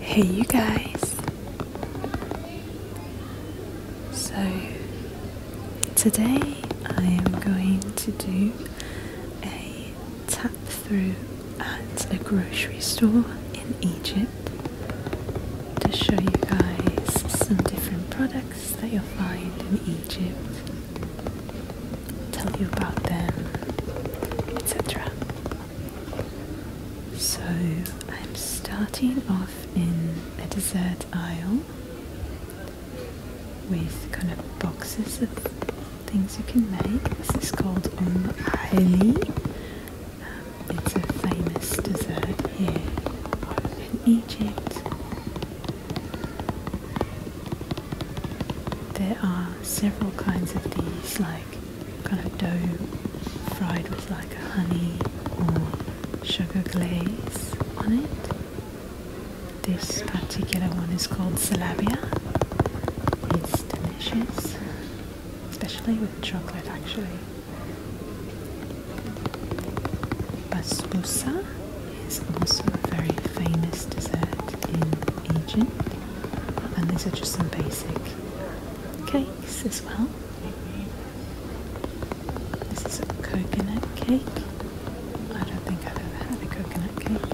Hey you guys! So today I am going to do a tap through at a grocery store in Egypt to show you guys some different products that you'll find in Egypt tell you about them, etc. So I'm starting off in a dessert aisle with kind of boxes of things you can make. This is called Um Ali. it's a famous dessert here in Egypt. There are several kinds of these, like kind of dough fried with like honey or sugar glaze on it. This particular one is called salabia. It's delicious, especially with chocolate actually. Basbousa it's also a very famous dessert in Egypt, and these are just some basic cakes as well. This is a coconut cake. I don't think I've ever had a coconut cake.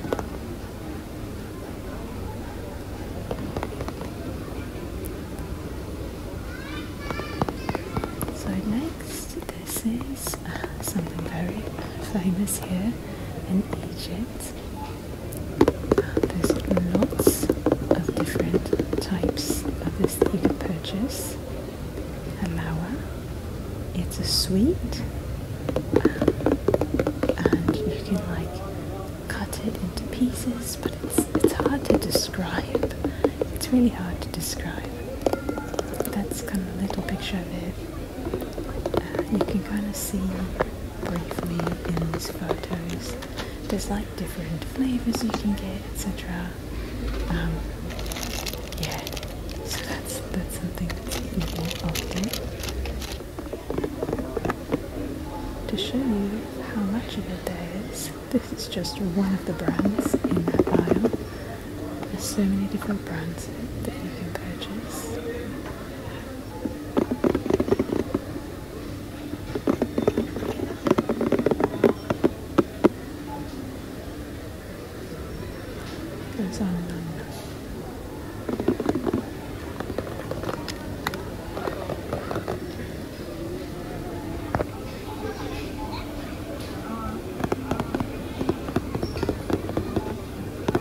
So next, this is is uh, something very famous here in Egypt. there's lots of different types of this that you can purchase. Halawa, it's a sweet, and you can like cut it into pieces, but it's it's hard to describe. It's really hard to describe. That's kind of a little picture of it. Uh, you can kind of see briefly in these photos. There's like different flavors you can get, etc. Um, yeah, so that's that's something that's eatable often. To show you how much of it there is, this is just one of the brands in that aisle. There's so many different brands that you can purchase.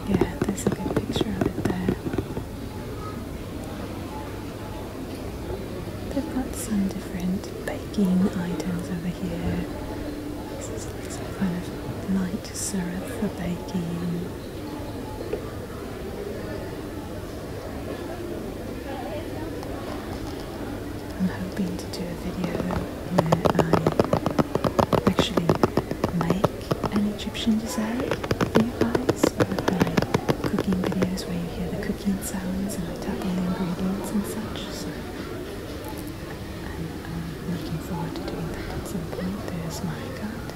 Yeah, there's a good picture of it there. They've got some different baking items over here. This is like some kind of light syrup for baking. I'm hoping to do a video where I actually make an Egyptian dessert for you guys. I love my cooking videos where you hear the cooking sounds and I tap on the ingredients and such. So um, I'm, looking forward to doing that at some point. There's my card.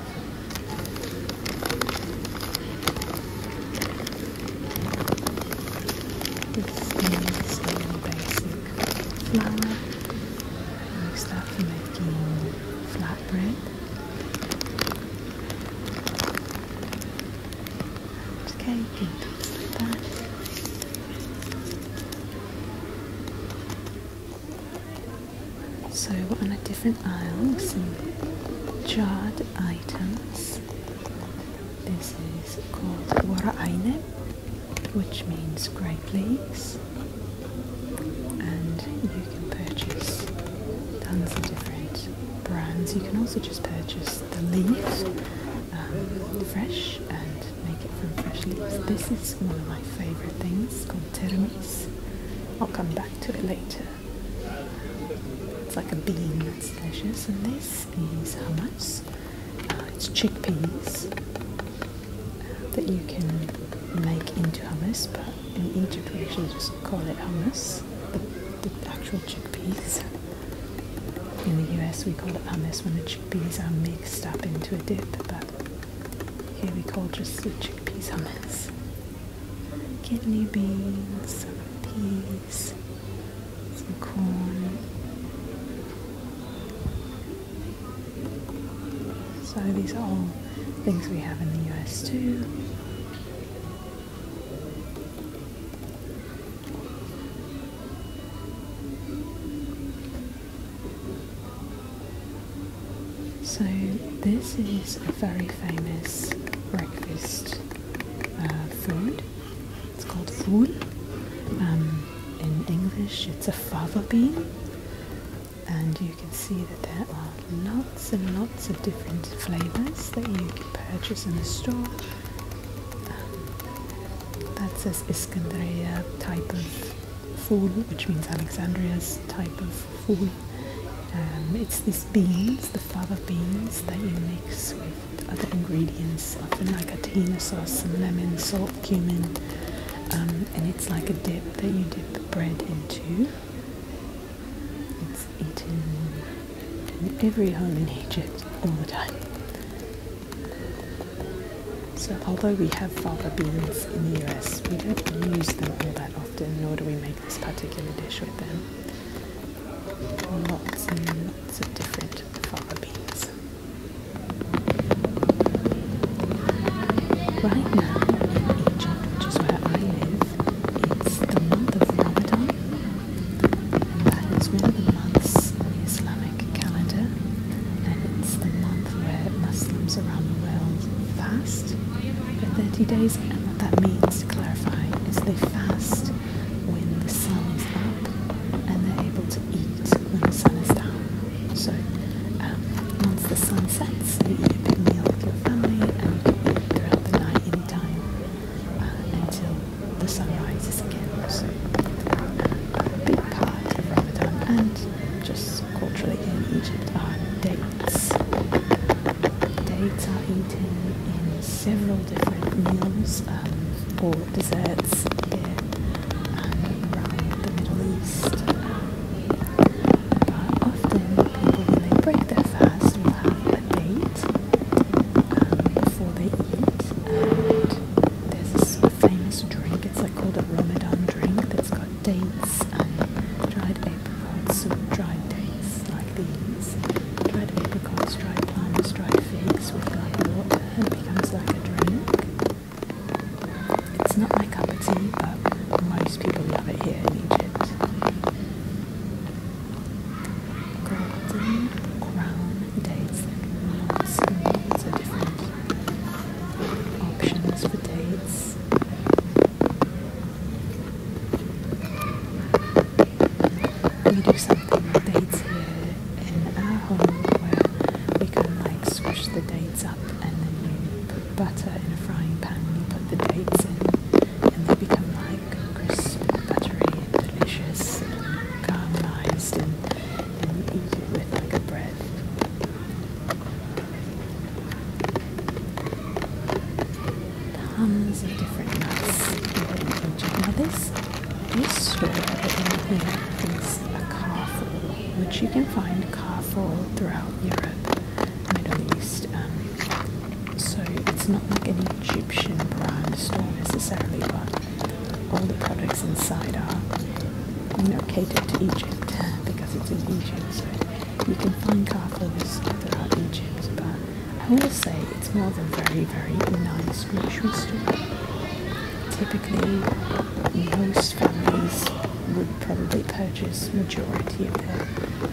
This is basic flour. mixed up for making flatbread. And cake and So we're on a different aisle, some jarred items. This is called wara aine which means grape leaves, and you can purchase tons of different brands. You can also just purchase the leaves um, fresh and make it from fresh leaves. This is one of my favourite things called teramis. I'll come back to it later. It's like a bean that's delicious, and this this hummus. Uh, it's chickpeas uh, that you can make into hummus, but in Egypt we actually just call it hummus, the, actual chickpeas. In the US we call it hummus when the chickpeas are mixed up into a dip, but here we call just the chickpeas hummus. Kidney beans, peas some corn. So these are all things we have in the US too. So this is a very famous breakfast uh, food. It's called ful. Um, in English, it's a fava bean, and you can see that there are lots and lots of different flavors that you can purchase in the store. Um, that says Iskandria type of ful, which means Alexandria's type of ful. Um, it's these beans, the fava beans, that you mix with other ingredients. I think like a tahini sauce, some lemon, salt, cumin, um, and it's like a dip that you dip the bread into. It's eaten in every home in Egypt all the time. So although we have fava beans in the US, we don't use them all that often, nor do we make this particular dish with them lots and lots of different fava Right now in Egypt, which is where I live, it's the month of Ramadan. And that is one of the months in the Islamic calendar, and it's the month where Muslims around the world fast for 30 days. And what that means, to clarify, is they fast when the sun is out and they're able to eat when the sun is down. So um, once the sun sets, you eat a big meal with your family and you eat throughout the night any uh, until the sun rises again. So uh, a big part of Ramadan and just culturally in Egypt are dates. Dates are eaten in several different meals um, or desserts here um, around the Middle East. but often people, when they break their fast, will have a date um, before they eat. And there's this famous drink, it's like called a Ramadan drink that's got dates and dried apricots, so dried dates like these. Dried apricots, dried plums, dried figs with like water and it becomes like a drink. It's not my cup of tea, but most people love it here in Egypt. Golden crown dates. Lots different options for dates we do something with dates here in ah, our home where we can like squish the dates up and then you put butter in a frying pan and you put the dates in and they become like crisp and buttery and delicious caramelized and, and you eat it with like a bread tons of different nuts within each of Now this, store that we is a carful, which you can find carful throughout Europe, Middle East. Um, so it's not like any Egyptian brand store necessarily, but all the products inside are, located to Egypt because it's in Egypt. So you can find carfils throughout Egypt, but I will say it's more of a very, very nice grocery store. Typically, most families would probably purchase majority of their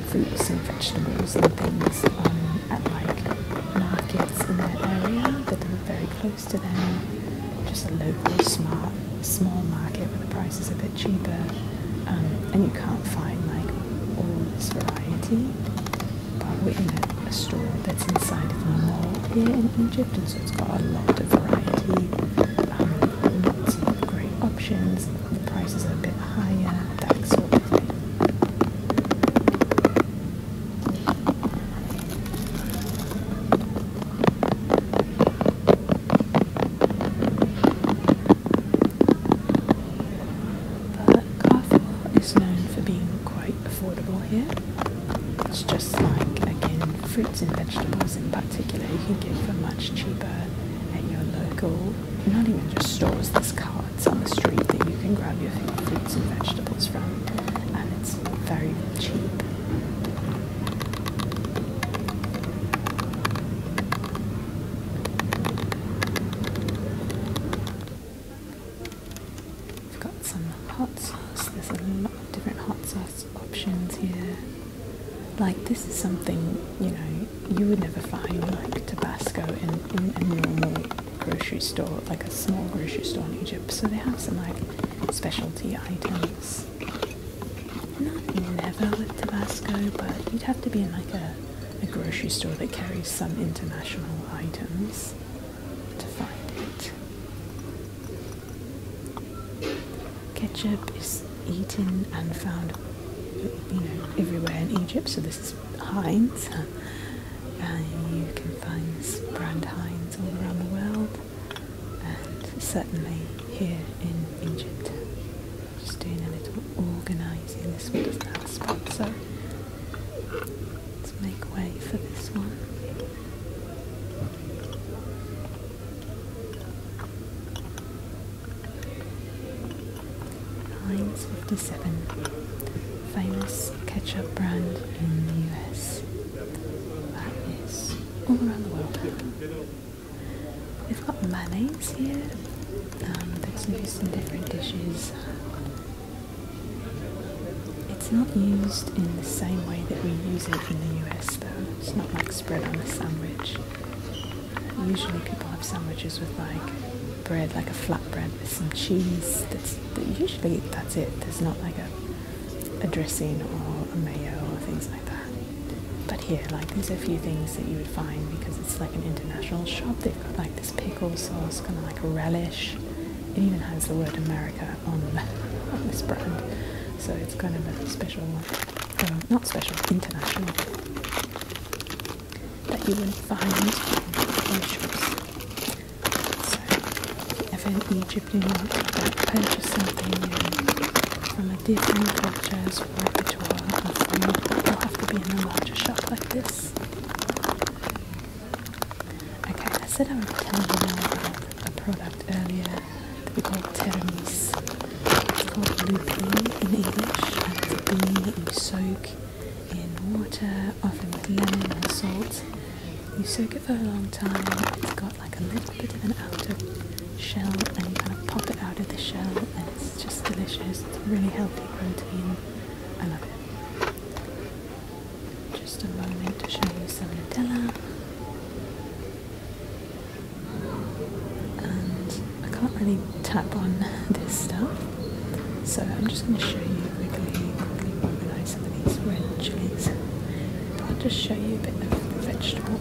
fruits and vegetables and things at like markets in their area that are very close to them. Just a local smart small market where the price is a bit cheaper um, and you can't find like all this variety. But we're in a, store that's inside of a mall here in Egypt, and so it's got a lot of variety, um, lots of great options. The prices are a bit higher, that sort of thing. But Coffwell is known for being quite affordable here. It's just like, again, fruits and vegetables in particular, you can get for much cheaper at your local, not even just stores, there's carts on the street that you can grab your fruits and vegetables from, and it's very cheap. We've got some hot sauce. There's a lot of different hot sauce options here. Like this is something, you know, you would never find like Tabasco in, in a normal grocery store, like a small grocery store in Egypt. So they have some like specialty items. Not never with Tabasco, but you'd have to be in like a a grocery store that carries some international items to find it. Ketchup is eaten and found everywhere in Egypt, so this is Heinz. And you can find brand Heinz all around the world and certainly here in Egypt. Just doing a little organising. This one doesn't have a spot, so Let's make way for this one. Heinz 57, famous ketchup brand in the US. That is all around the world. They've got mayonnaise here. Um, that's used in different dishes. It's not used in the same way that we use it in the US though. It's not like spread on a sandwich. Usually people have sandwiches with like bread, like a flatbread with some cheese. That's usually that's it. There's not like a a dressing or a mayo or things like. But here, like these a few things that you would find because it's like an international shop. They've got like this pickle sauce, kind of like a relish. It even has the word America on, this brand, so it's kind of a special, one um, not special, international that you would not find in shops. So, if in Egypt you to purchase something from a different culture, worth will have to be in a larger shop like this. Okay, I said I would telling you about a product earlier that we call Teramis. It's called lupine in English, and it's a bean that you soak in water, often with lemon and salt. You soak it for a long time. It's got like a little bit of an outer shell and kind of pop it out of the shell and it's just delicious. really healthy protein. I love it. Just a moment to show you some Nutella. And I can't really tap on this stuff. So I'm just going to show you quickly, quickly organize some of these red chilies. I'll just show you a bit of vegetable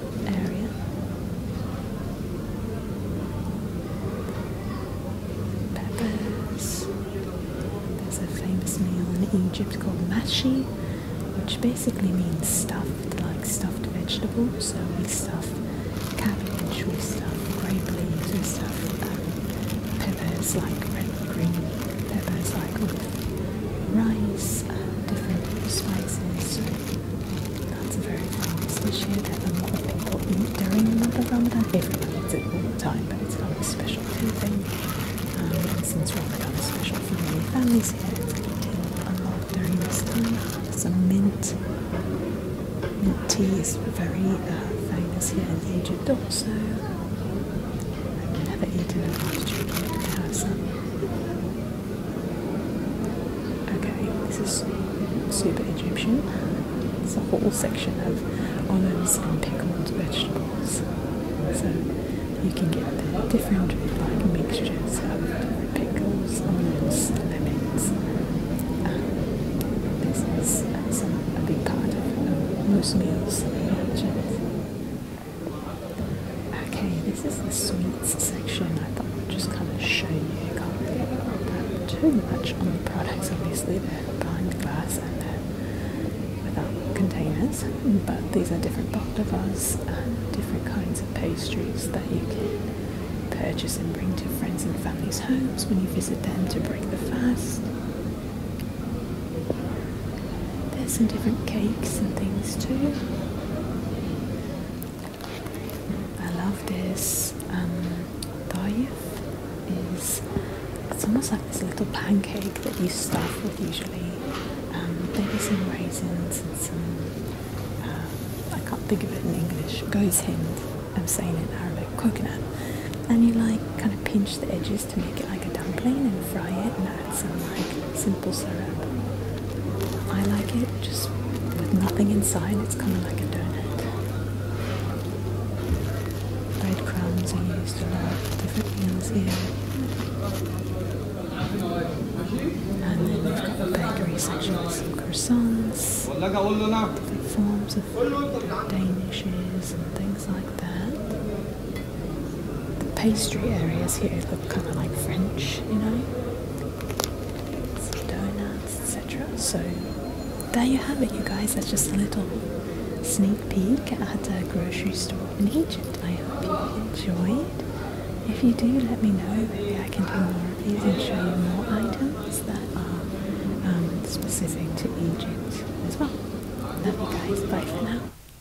Peppers. There's a famous meal in Egypt called mashi, which basically means stuffed, like stuffed vegetables. So we stuff cabbage, we stuff grape leaves, we stuff um, peppers like red green peppers like rice and different spices. That's a very famous issue that a um, people eat during the month of Ramadan. Everyone eats it all the time, but it's not a special thing. Um, and since Ramadan is special for many families here, it's eaten a lot during this time. Some mint. Mint tea is very uh, famous here in Egypt also. I've never eaten a lot of chicken, have some. Okay, this is super Egyptian. It's a whole section of olives and pickled vegetables. So you can get the different mixtures of pickles, onions, lemons. Um, this is uh, a big part of most meals in Egypt. Okay, this is the sweets section. I thought I'd just kind of show you. Can't really too much on the products. Obviously, behind the glass and they without containers. But these are different baklavas different kinds of pastries that you can purchase and bring to friends and families' homes when you visit them to break the fast. There's some different cakes and things too. I love this um, daif is it's almost like this little pancake that you stuff with usually um, maybe some raisins and some uh, I can't think of it in English goes hind I'm saying in Arabic coconut and you like kind of pinch the edges to make it like a dumpling and fry it some like simple syrup. I like it just with nothing inside. It's kind of like a donut. Breadcrumbs are used a lot for different meals here. And then we've got the bakery section with some croissants, different forms of danishes and things like that. The pastry areas here look kind of like French, you know. donuts, etc. So there you have it, you guys. That's just a little sneak peek at a grocery store in Egypt. I hope you enjoyed. If you do, let me know. Maybe I can do more of these and show you more items that are um, specific to Egypt as well. Love you guys. Bye for now.